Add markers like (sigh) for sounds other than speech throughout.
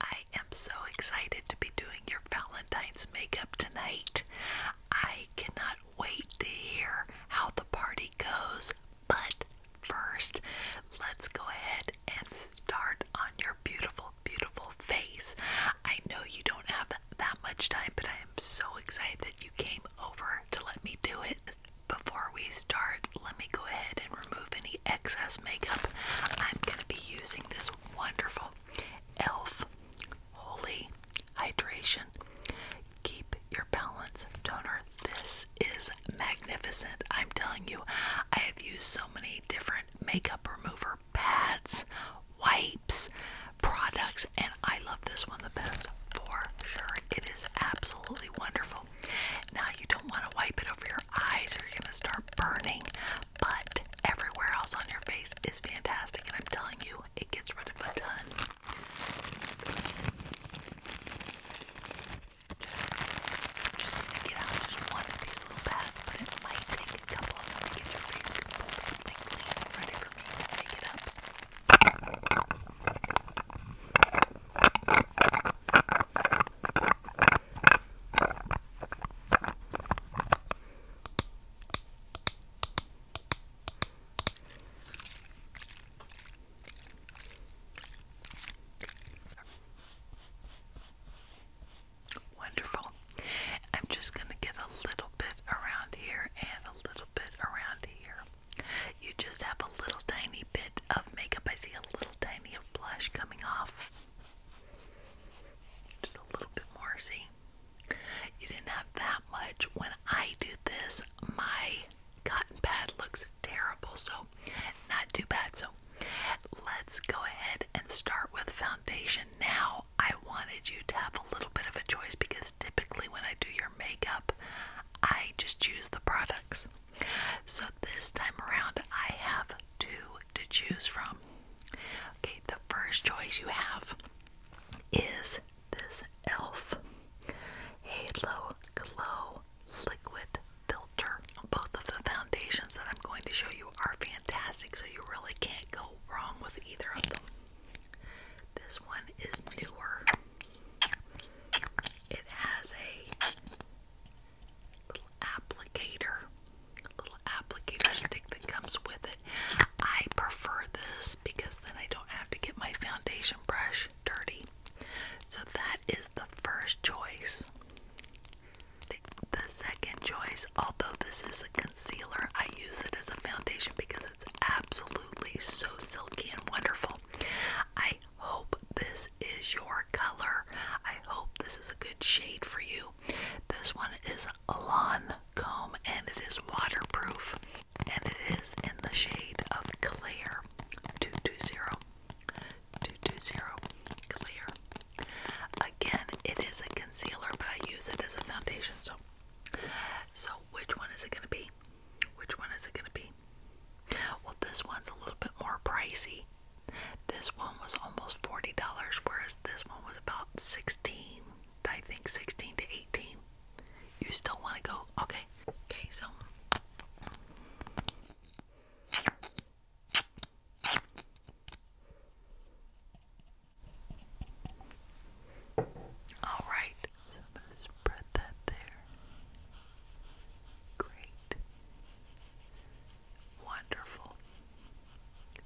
I am so excited to be doing your Valentine's makeup tonight. I cannot wait to hear how the party goes, but first, let's go ahead and start on your beautiful, beautiful face. I know you don't have that much time, but I am so excited that you came over to let me do it. Before we start, let me go ahead and remove any excess makeup, I'm going to be using this wonderful e.l.f. Holy Hydration Keep Your Balance Toner. This is magnificent. I'm telling you, I have used so many different makeup remover pads, wipes, products, and I love this one the best for sure. It is absolutely wonderful. Now, you don't want to wipe it over your eyes or you're going to start burning, but everywhere else on your face is fantastic, and I'm telling you, it gets rid of a ton. Just, gonna get out just one of these little pads, but it might take a couple of them to get your face completely clean and it Wonderful. I'm just going to get a little bit around here and a little bit around here. You just have a little tiny bit of makeup. I see a little tiny of blush coming off. Just a little bit more, see? You didn't have that much. When I do this, my cotton pad looks terrible, so not too bad. So let's go ahead and start with foundation. Now, I wanted you to have a little bit of a choice because typically when I do your makeup, I just choose the products. So this time around, I have two to choose from. Okay, the first choice you have is this e.l.f. Halo Glow Liquid Filter. Both of the foundations that I'm going to show you are fantastic, so you really can't go wrong with either of them. This one is newer. It has a little applicator, little applicator stick that comes with it. I prefer this because then I don't have to get my foundation brush dirty. So that is the first choice. The second choice, although this is a concealer, I use it as a foundation because it's absolutely so silky and wonderful. I hope this is your color. I hope this is a good shade for you. This one is lawn comb and it is waterproof and it is in the shade of clear 220 220 clear. Again, it is a concealer, but I use it as a foundation. So so which one is it going to be? Which one is it going to be? Well, this one's a little bit more pricey. This one was almost $40, whereas this one was about 16 I think 16 to 18. You still want to go? Okay. Okay, so. All right. So spread that there. Great. Wonderful.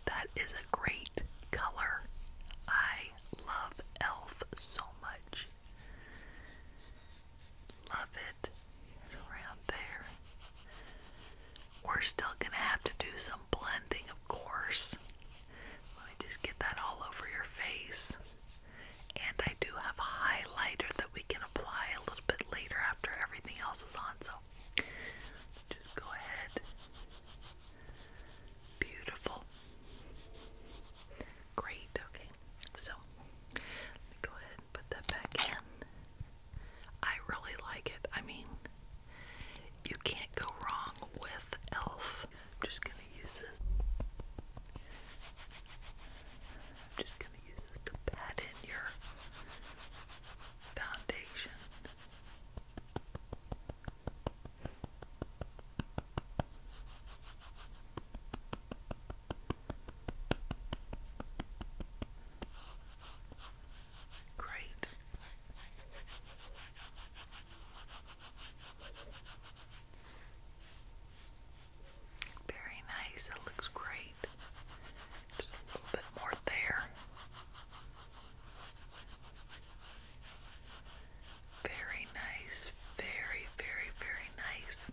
That is a great color. I love elf so much. Love it. Around there. We're still going to have to do some blending, of course. Let me just get that all over your face. And I do have a highlighter that we can apply a little bit later after everything else is on, so just go ahead. Beautiful. Great. Okay. So, go ahead put that back in. I really like it. I mean, you can't go wrong with e.l.f. I'm just going to use this. I'm just going to use this to pat in your foundation. Great. Very nice. It looks great. Just a little bit more there. Very nice. Very, very, very nice.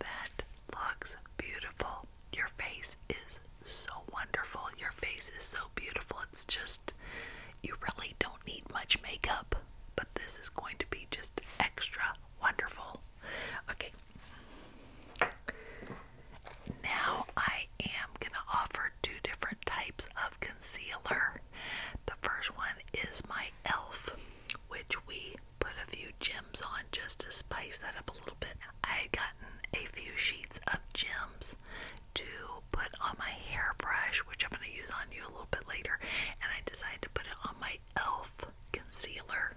That looks beautiful. Your face is so wonderful. Your face is so beautiful. It's just, you really don't need much makeup, but this is going to be just extra wonderful. Okay, now I am going to offer two different types of concealer. The first one is my e.l.f., which we put a few gems on just to spice that up a little bit. I had gotten a few sheets of gems to put on my hairbrush, which I'm going to use on you a little bit later, and I decided to put it on my e.l.f. concealer.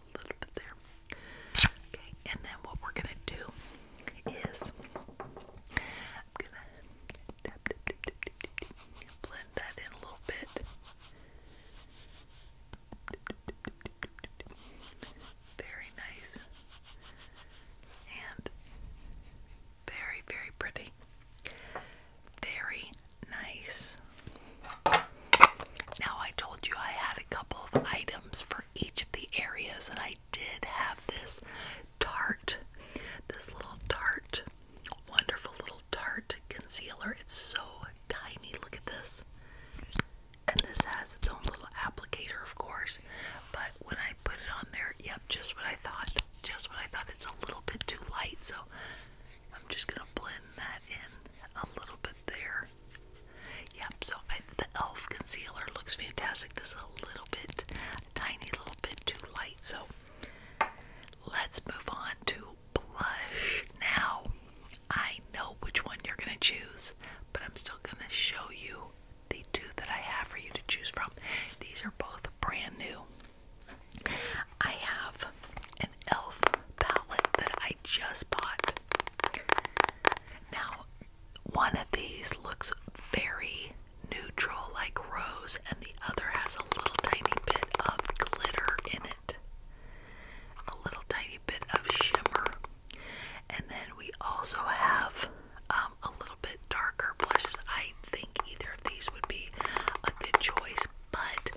a little bit there. Okay, and then what we're gonna do is I'm gonna blend that in a little bit. Very nice and very, very pretty. Very Nice. Now, I told you I had a couple of items for each of the areas, and I did have this tart, this little tart, wonderful little tart concealer. It's so tiny. Look at this. And this has its own little applicator, of course. But when I put it on there, yep, just what I thought. Just what I thought. It's a little bit too light, so I'm just going to blend that in a little bit there. Yep, so the e.l.f. concealer looks fantastic. This is a little bit, tiny little bit too light. So let's move on to blush. Now, I know which one you're going to choose, but I'm still going to show you the two that I have for you to choose from. These are both brand new. I have an e.l.f. palette that I just bought. Now, one of these looks very neutral, like rose, and the other has a little tiny bit of glitter in it, a little tiny bit of shimmer. And then we also have um, a little bit darker blushes. I think either of these would be a good choice but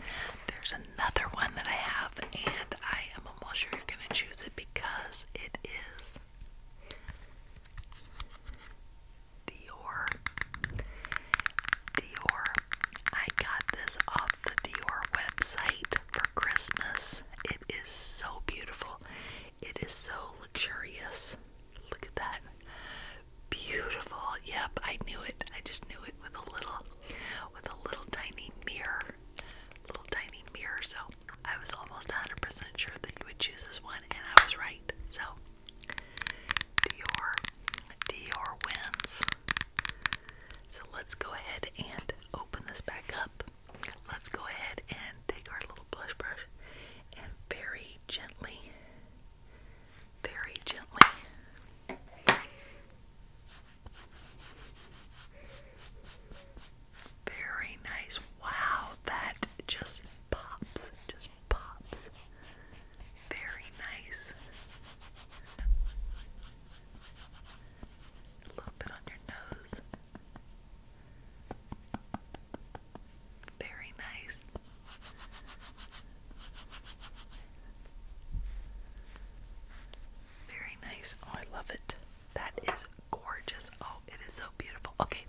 there's another one that I have, and I am almost sure you're gonna choose it because it is Dior. Dior. I got this off the Dior website for Christmas. It is so beautiful. It is so luxurious. Look at that. Beautiful. Yep, I knew it. I just knew it with a little with a little tiny mirror, little tiny mirror. So I was almost 100% sure that you would choose this one, and I was right. So Dior, Dior wins. So let's go ahead and open this back up. Let's go ahead and take our little blush brush and very gently, very gently very nice. Wow, that just pops. Just pops. Very nice. A little bit on your nose. Very nice. Very nice. Oh, I love it. That is gorgeous. Oh, it is so beautiful. Okay,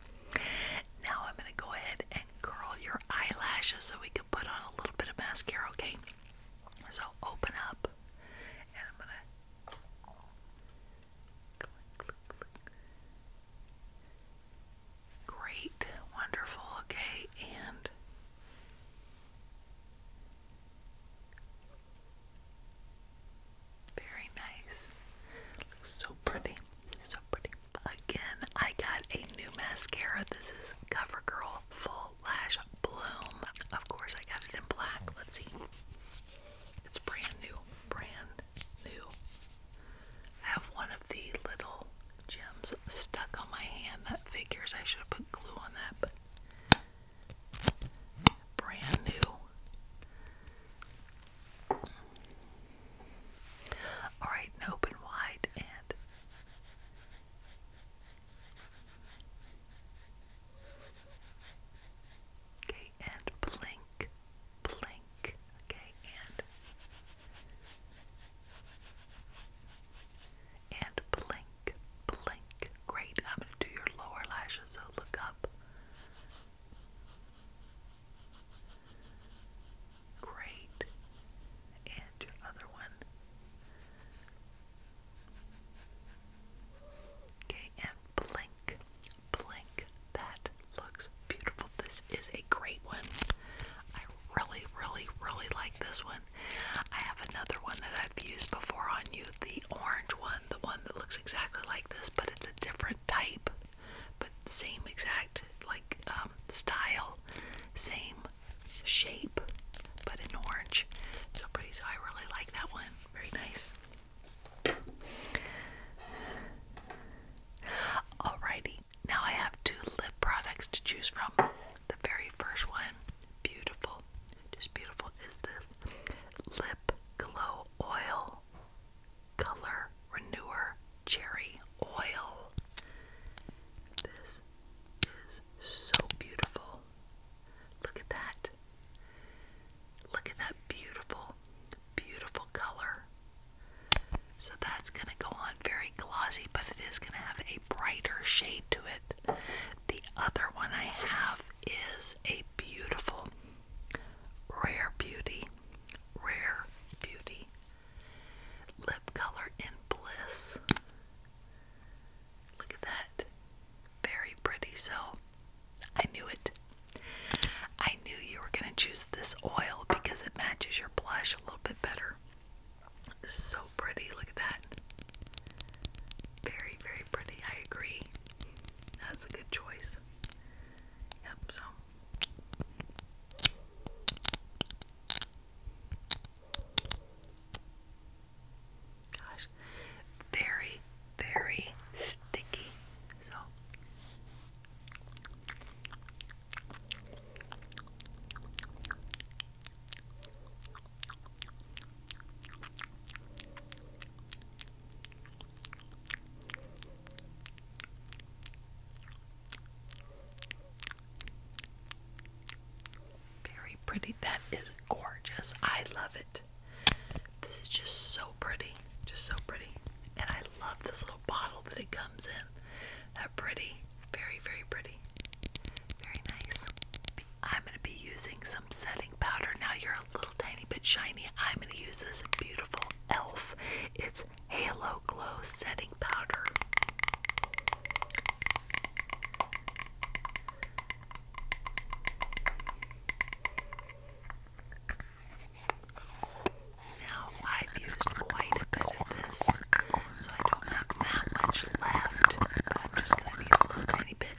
now I'm going to go ahead and curl your eyelashes so we can put on a little bit of mascara, okay? So open up and I'm going to Great, wonderful, okay, and very nice. Looks so pretty. So pretty. Again, I got a new mascara. This is CoverGirl Full Lash Bloom. Of course, I got it in black. Let's see. It's brand new. Brand new. I have one of the little gems stuck on my hand. That figures I should have put glue on that, Brand new. Alright, open wide and Okay, and blink, blink, okay, and and blink, blink. Great. I'm going to do your lower lashes, so look up. Great. And your other one. Okay, and blink, blink. That looks beautiful. This is a great one. I really, really, really like this one. I have another one that I've used before on you, the orange one, the one that looks exactly like this, but it's a different type, but same exact like um, style, same shape, but in orange. So pretty. I really like that one. Very nice. Alrighty, now I have two lip products to choose from. The very first one, beautiful, just beautiful, is this Lip Glow Oil Color Renewer Cherry Oil. This is so beautiful. Look at that. Look at that beautiful, beautiful color. So that's going to go on very glossy, but it is going to have a brighter shade to it the other one I have is a beautiful Rare Beauty, Rare Beauty lip color in Bliss. Look at that. Very pretty. So I knew it. I knew you were going to choose this oil because it matches your blush a little bit better. This is So pretty, look at that. Very, very pretty. I agree. That's a good choice. Yep, so. Gosh, very, very sticky. So. Very pretty. That is gorgeous. I love it. This is just so pretty. Just so pretty. And I love this little bottle that it comes in. That pretty. Very, very pretty. Very nice. I'm going to be using some setting powder. Now you're a little tiny bit shiny. I'm going to use this beautiful e.l.f. It's Halo Glow Setting Powder. Now I've quite a bit of this, so I don't have that much left, but I'm just going to need a little tiny bit.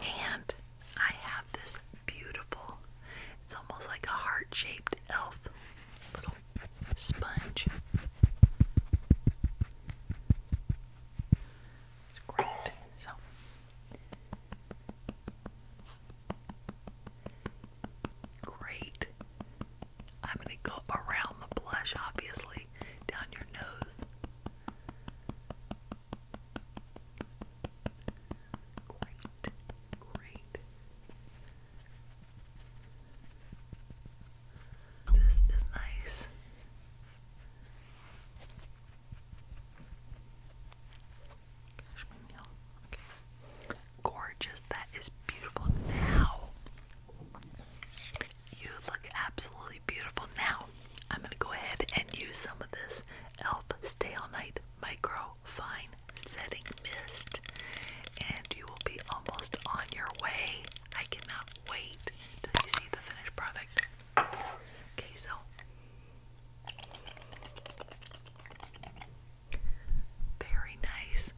And I have this beautiful, it's almost like a heart shaped elf little sponge. It's great. So. Great. I'm going to go around the blush, obviously, down your nose, Quite great. This is nice. Gosh, my nail. Okay. Gorgeous. That is beautiful. Now, you look absolutely beautiful. Now, I'm going to go ahead and use some of this e.l.f. Stay All Night Micro Fine Setting Mist, and you will be almost on your way. I cannot wait to see the finished product. Okay, so very nice.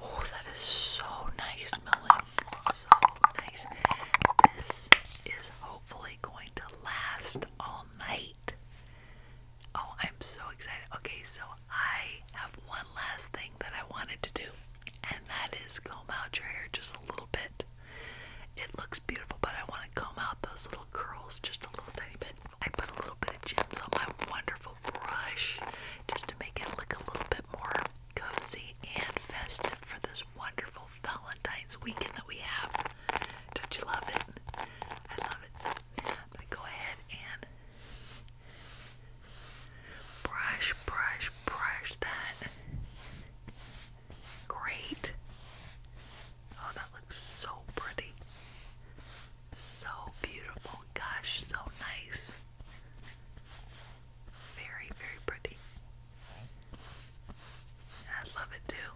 Oh, that is so nice smelling so nice. This is hopefully going to last all night. Oh, I'm so excited. Okay, so I have one last thing that I wanted to do, and that is comb out your hair just a little bit. It looks beautiful, but I want to comb out those little curls just a little tiny bit. I put a little bit of gems on my wonderful brush just to make it look a little bit more cozy and festive for this wonderful Valentine's weekend that we have. Don't you love it? I love it. So I'm gonna go ahead and brush, brush, brush that. Great. Oh, that looks so pretty. So beautiful. Gosh, so nice. Very, very pretty. I love it too.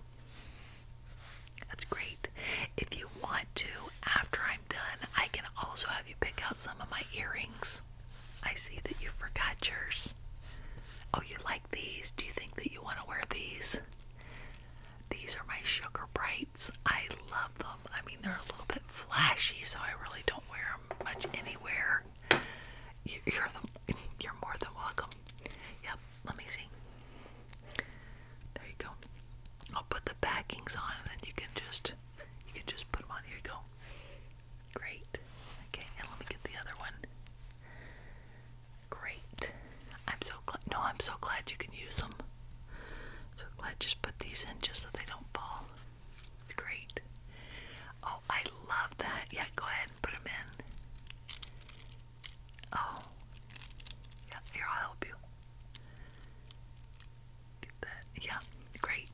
That's great. If you want to, after I'm done, I can also have you pick out some of my earrings. I see that you forgot yours. Oh, you like these? Do you think that you want to wear these? These are my Sugar Brights. I love them. I mean, they're a little bit flashy, so I really don't wear them much anywhere. You're the, (laughs) you're more than welcome. Yep. Let me see. There you go. I'll put the backings on, and then you can just you can just put them on. Here you go. Great. Okay, and let me get the other one. Great. I'm so glad. No, I'm so glad you can use them. So glad. Just put these in just so they don't fall. It's great. Oh, I love that. Yeah, go ahead and put them in. Oh, yeah, here, I'll help you. Get that. Yeah, great.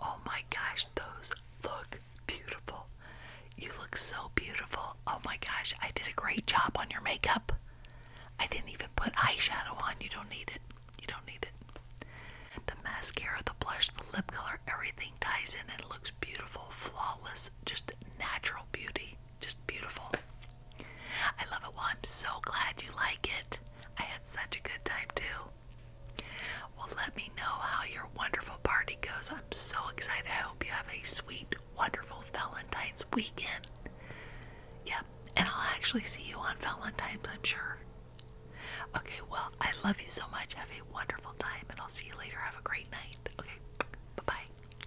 Oh my gosh, those look beautiful. You look so beautiful. Oh my gosh, I did a great job on your makeup. I didn't even put eyeshadow on. You don't need it. You don't need it. The mascara, the blush, the lip color, everything ties in and looks beautiful, flawless, just natural beauty. Just beautiful. I love it. Well, I'm so glad you like it. I had such a good time too. Well, let me know how your wonderful party goes. I'm so excited. I hope you have a sweet, wonderful Valentine's weekend. Yep, and I'll actually see you on Valentine's, I'm sure. Okay, well, I love you so much. Have a wonderful time, and I'll see you later. Have a great night. Okay, bye bye.